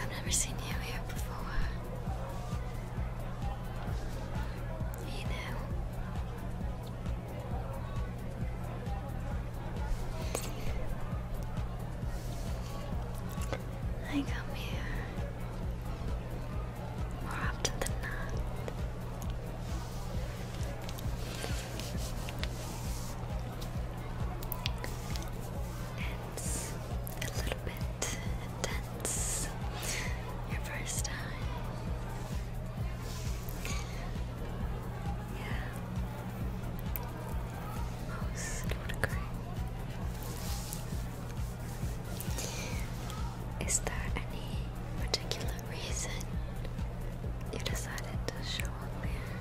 I've never seen you here before. You know. I come here more often than not a little bit intense your first time. Yeah, most would agree. Is there any particular reason you decided to show up here?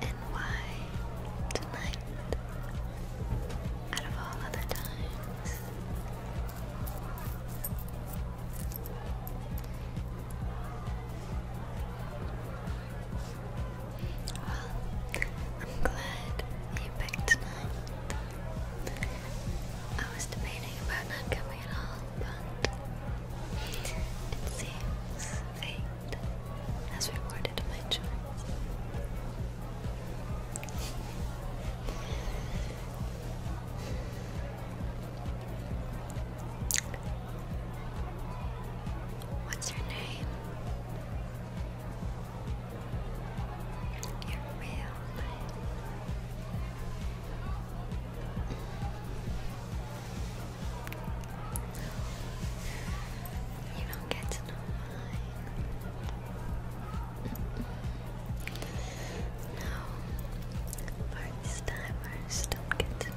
And why tonight, out of all other times? I'm glad you picked tonight. I was debating about not coming at all, but it seems fate has rewarded my choice. What's your name? Your you don't get to know mine. No, first timers don't get to know.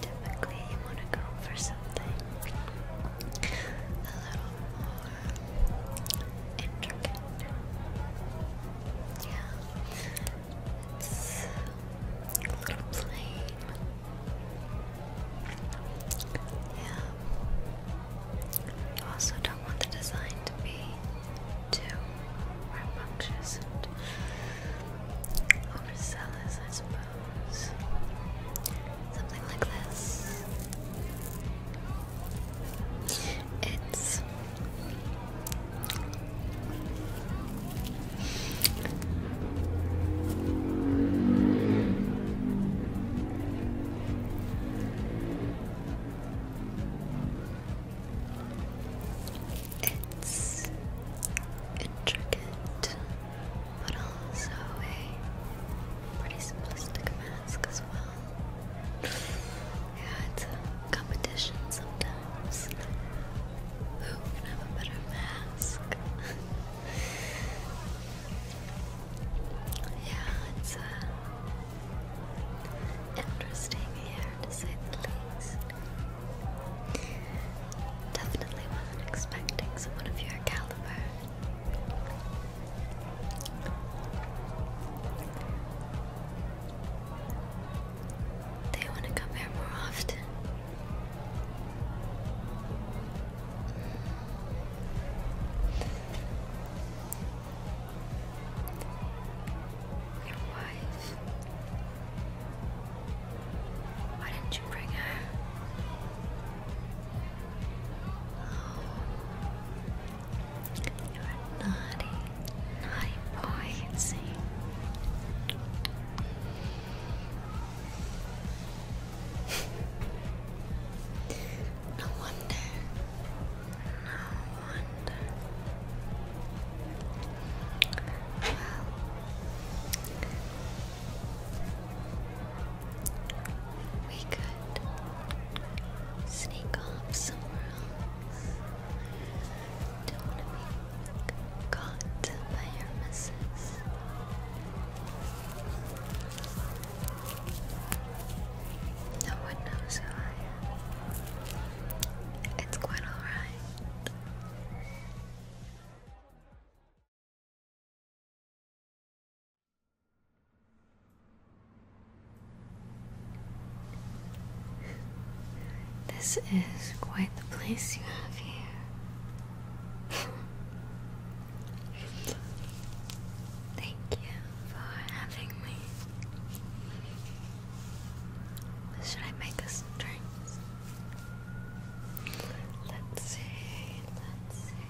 Typically, you want to go for something a little more intricate. Yeah, it's a little plain. Yeah. You also don't want the design to be too rambunctious and overzealous, Something like this. It's it's intricate but also a pretty simplistic mask as well. yeah, it's a competition sometimes. Who can have a better mask? yeah, it's uh, interesting here to say the least. Definitely wasn't expecting someone of your caliber. They want to come here more often. Your wife. Why didn't you bring her? Oh. you're naughty, naughty boy, no wonder. No wonder. Well, we could sneak off somewhere else. Don't want to be caught by your missus. No one knows who I am. It's quite alright. This is quite the place you have here. Thank you for having me. Should I make us drinks? Let's see, let's see.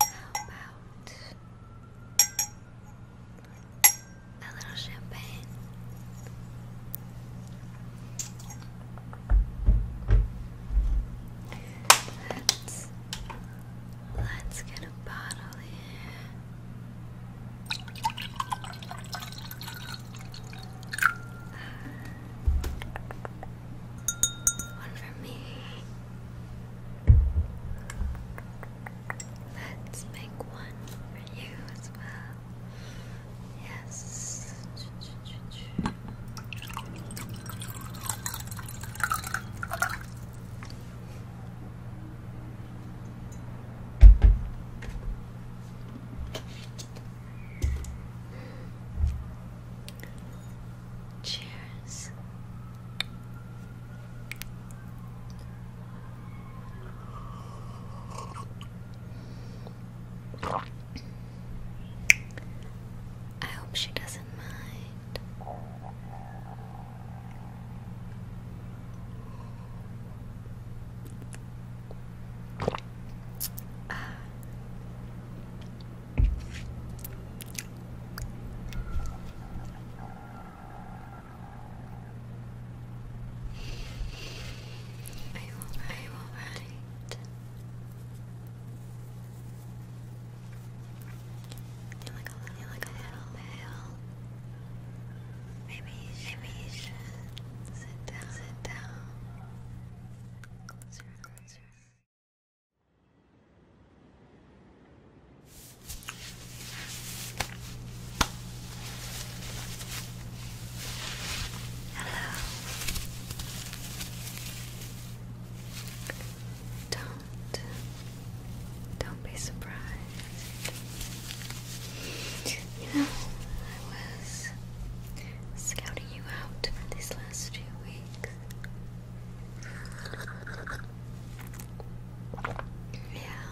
How about a little champagne? Let's let's get a bottle. One for me. Let's make one for you as well. Yes. Cheers. I hope she doesn't mind. Uh. I will, I will run You're like a, you're like a little male. Maybe you maybe you should sit down, sit down. Close your Hello. Don't don't be surprised. You know, I was scouting you out these last few weeks. Yeah.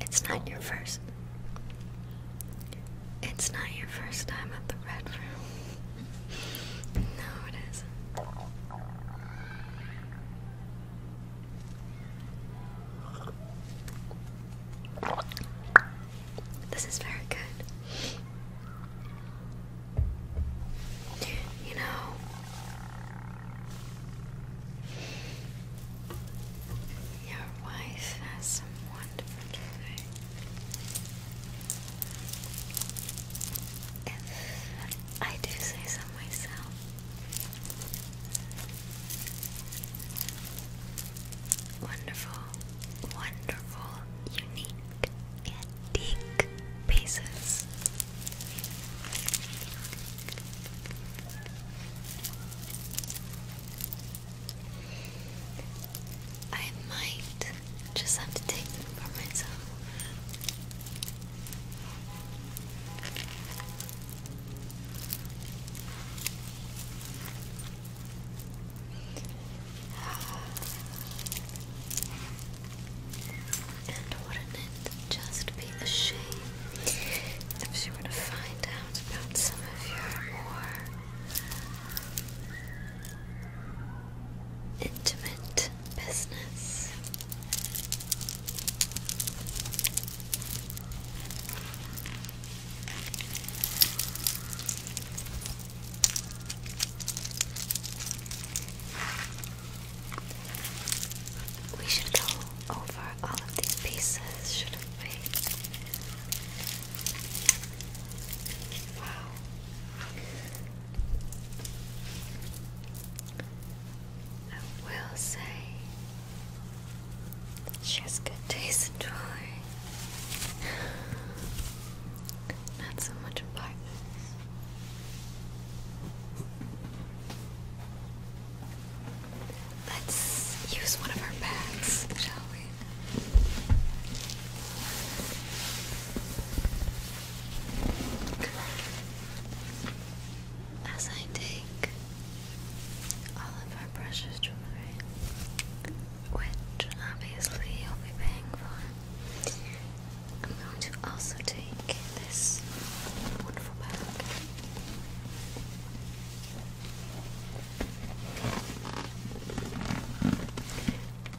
It's not your first. It's not your first time at the Red Room. no, it isn't. This is very good. You know, your wife has some wonderful clothing. I do say so myself. Wonderful, wonderful, unique, antique pieces. I might just have to take them for myself. And wouldn't it just be a shame if she were to find out about some of your more intimate business. We should go over all of these pieces, shouldn't we? Wow. I will say she has good taste in toys. Not so much in partners. Let's use one of our bags, shall we? As I take all of our precious jewelry, which obviously you'll be paying for, I'm going to also take this wonderful bag.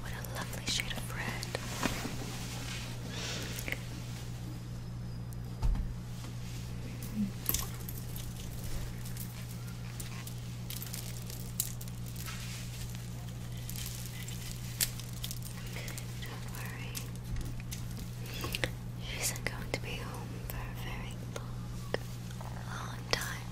What a lovely shade of red. Don't worry, she isn't going to be home for a very long, long time.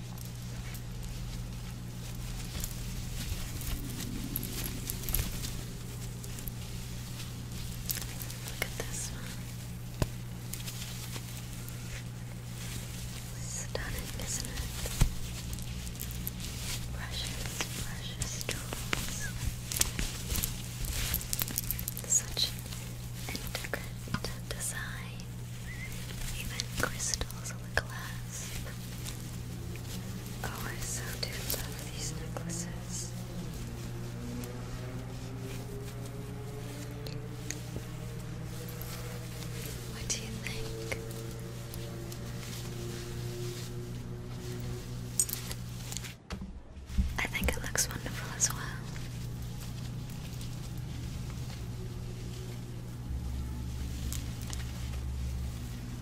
Look at this one. Stunning, isn't it? Precious, precious jewels. Such intricate design. Even crystals on the glass necklace. Oh, I so do love these necklaces. What do you think? I think it looks wonderful as well.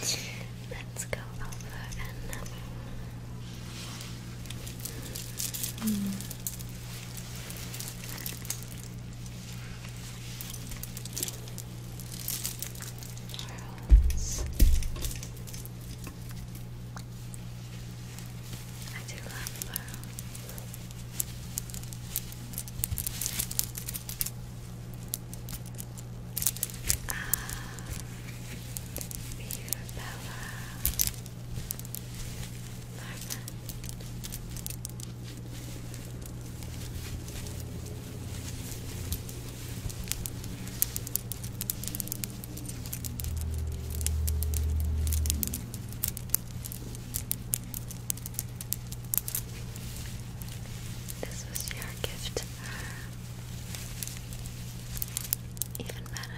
Let's go over another one. Mm. I do love pearls. Ah, viva This was your gift even better.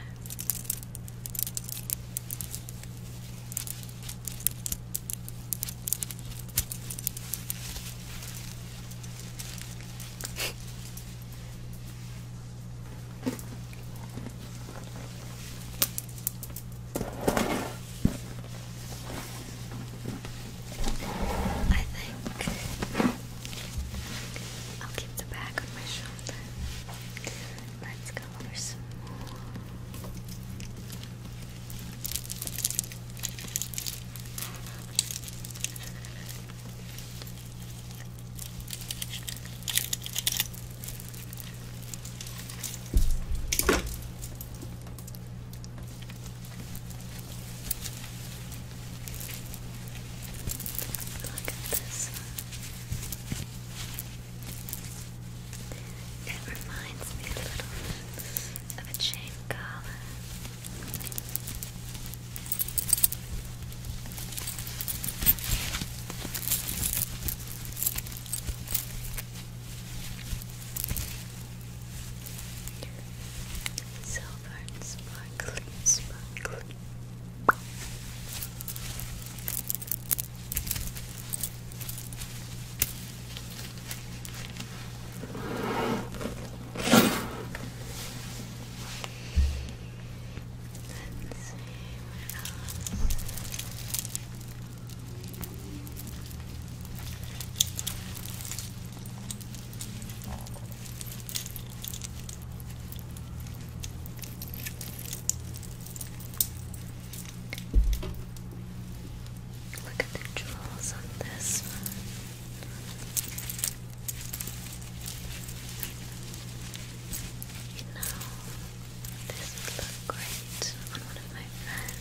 I think I'll keep the bag on my shoulder. Let's go over some more. Look at this one. It reminds me a little bit of a chain collar. Look Silver sparkly, sparkly. Let's see what else. Look at the jewels on this one. You know, this would look great on one of my friends.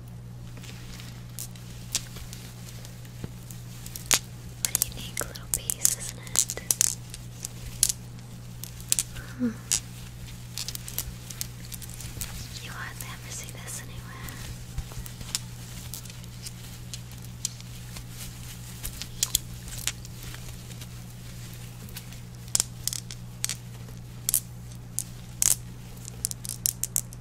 What a unique little piece, isn't it? Hmm. You hardly ever see this anywhere.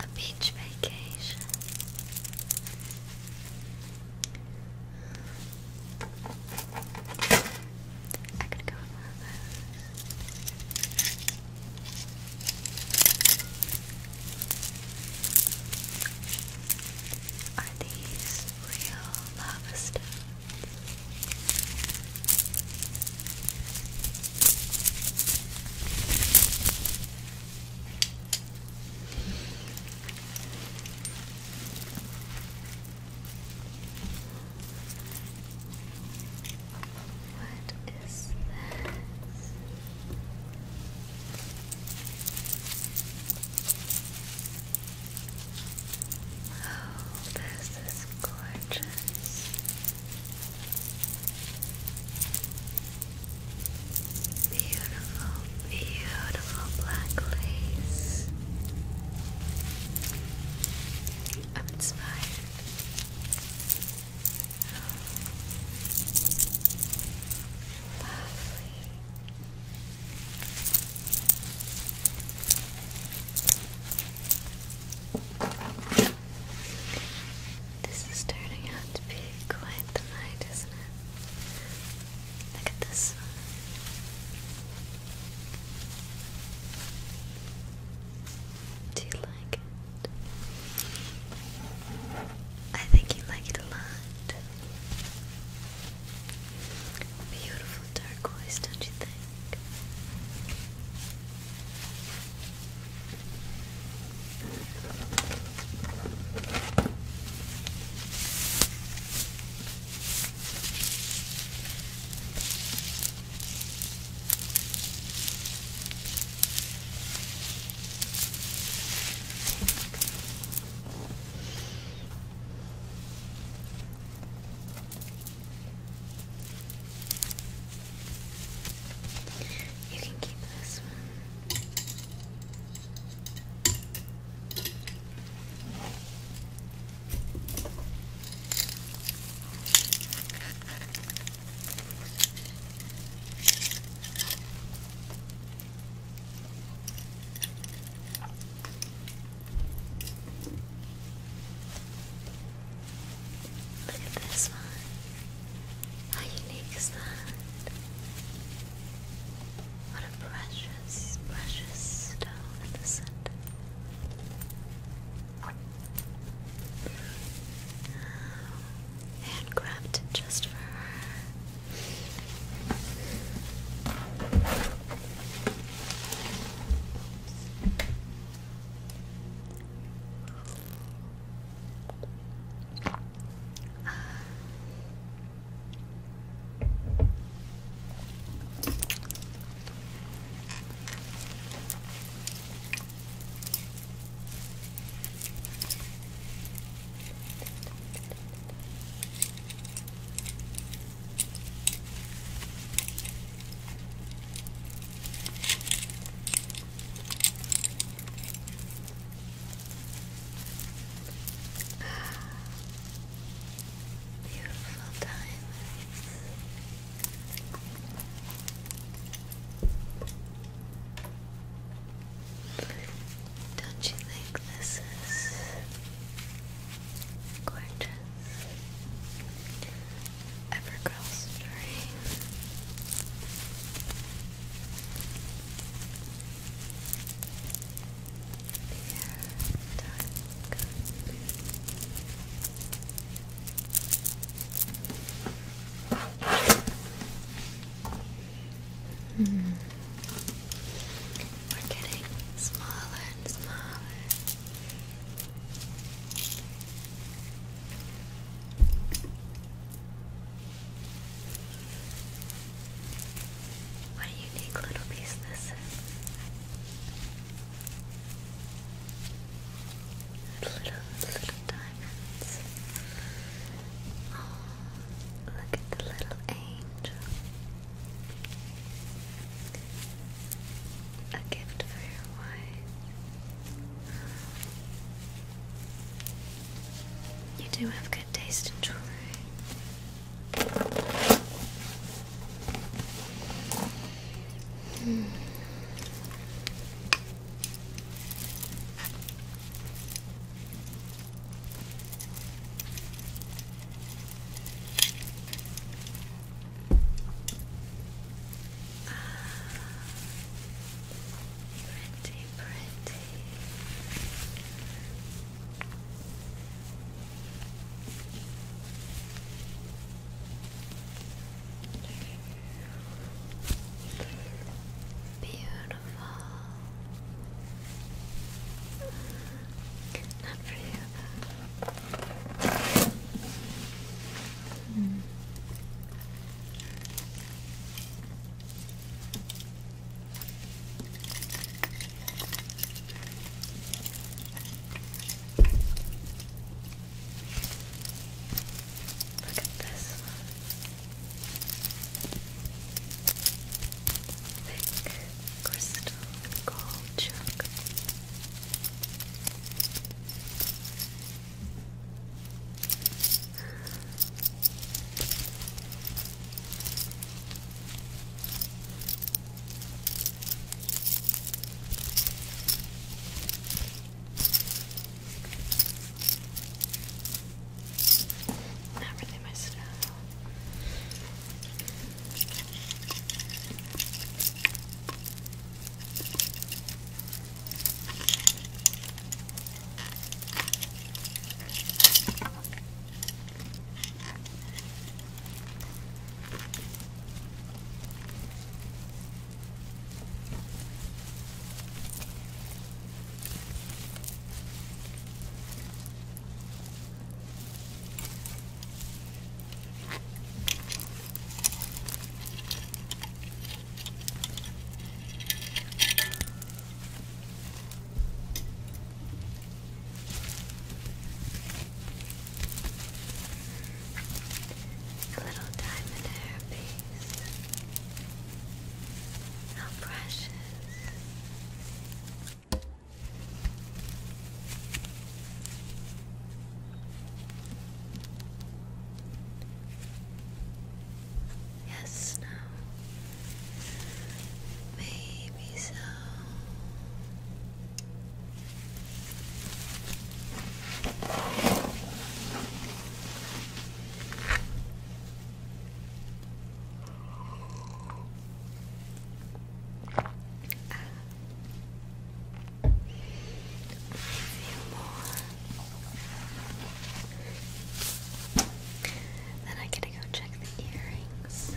A beach vacation. I could go on one these real lava stones? What is this? Oh, this is gorgeous. Beautiful, beautiful black lace. I'm inspired. Lovely. This is turning out to be quite the night, isn't it? Look at this Do you like it? I think you like it a lot. Beautiful turquoise, don't you think? You can keep this one. Look at this one. How unique is that? What a precious, precious stone in the handcrafted just for her. Ah, beautiful diamonds. Don't you think this is gorgeous? Evergirl's dream. Dear Hmm. We're getting smaller and smaller. What a unique little piece this is. little, little dot look at the little angel. A gift for your wife. You do have good taste in jewelry. Hmm. Ah, pretty, pretty. Beautiful. Beautiful. Not for you, Hmm. Look Thick crystal gold chunk. Very not really my style. A little time therapy how precious. Yes, Maybe so. Uh, more. Then I gotta go check the earrings.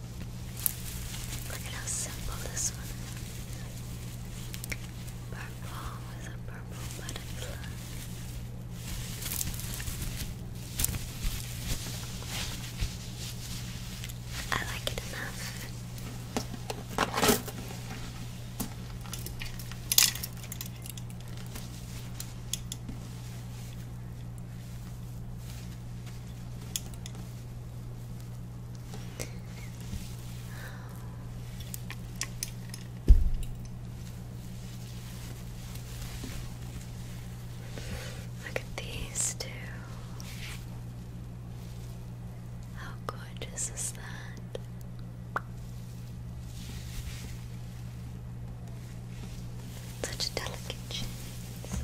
Look at how simple this one is. Purple with a purple butterfly. I like it enough. Look at these two. How gorgeous is that? Such delicate shades.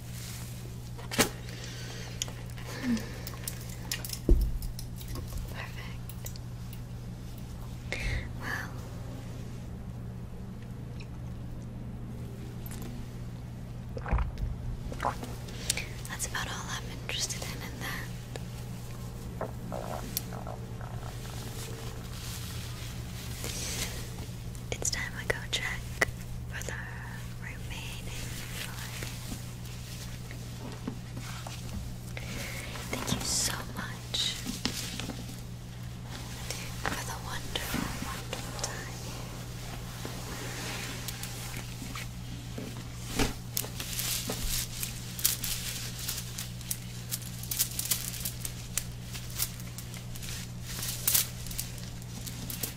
Perfect. Well, that's about all I'm interested in in that it's time I go check for the remaining Thank you so much for the wonderful time.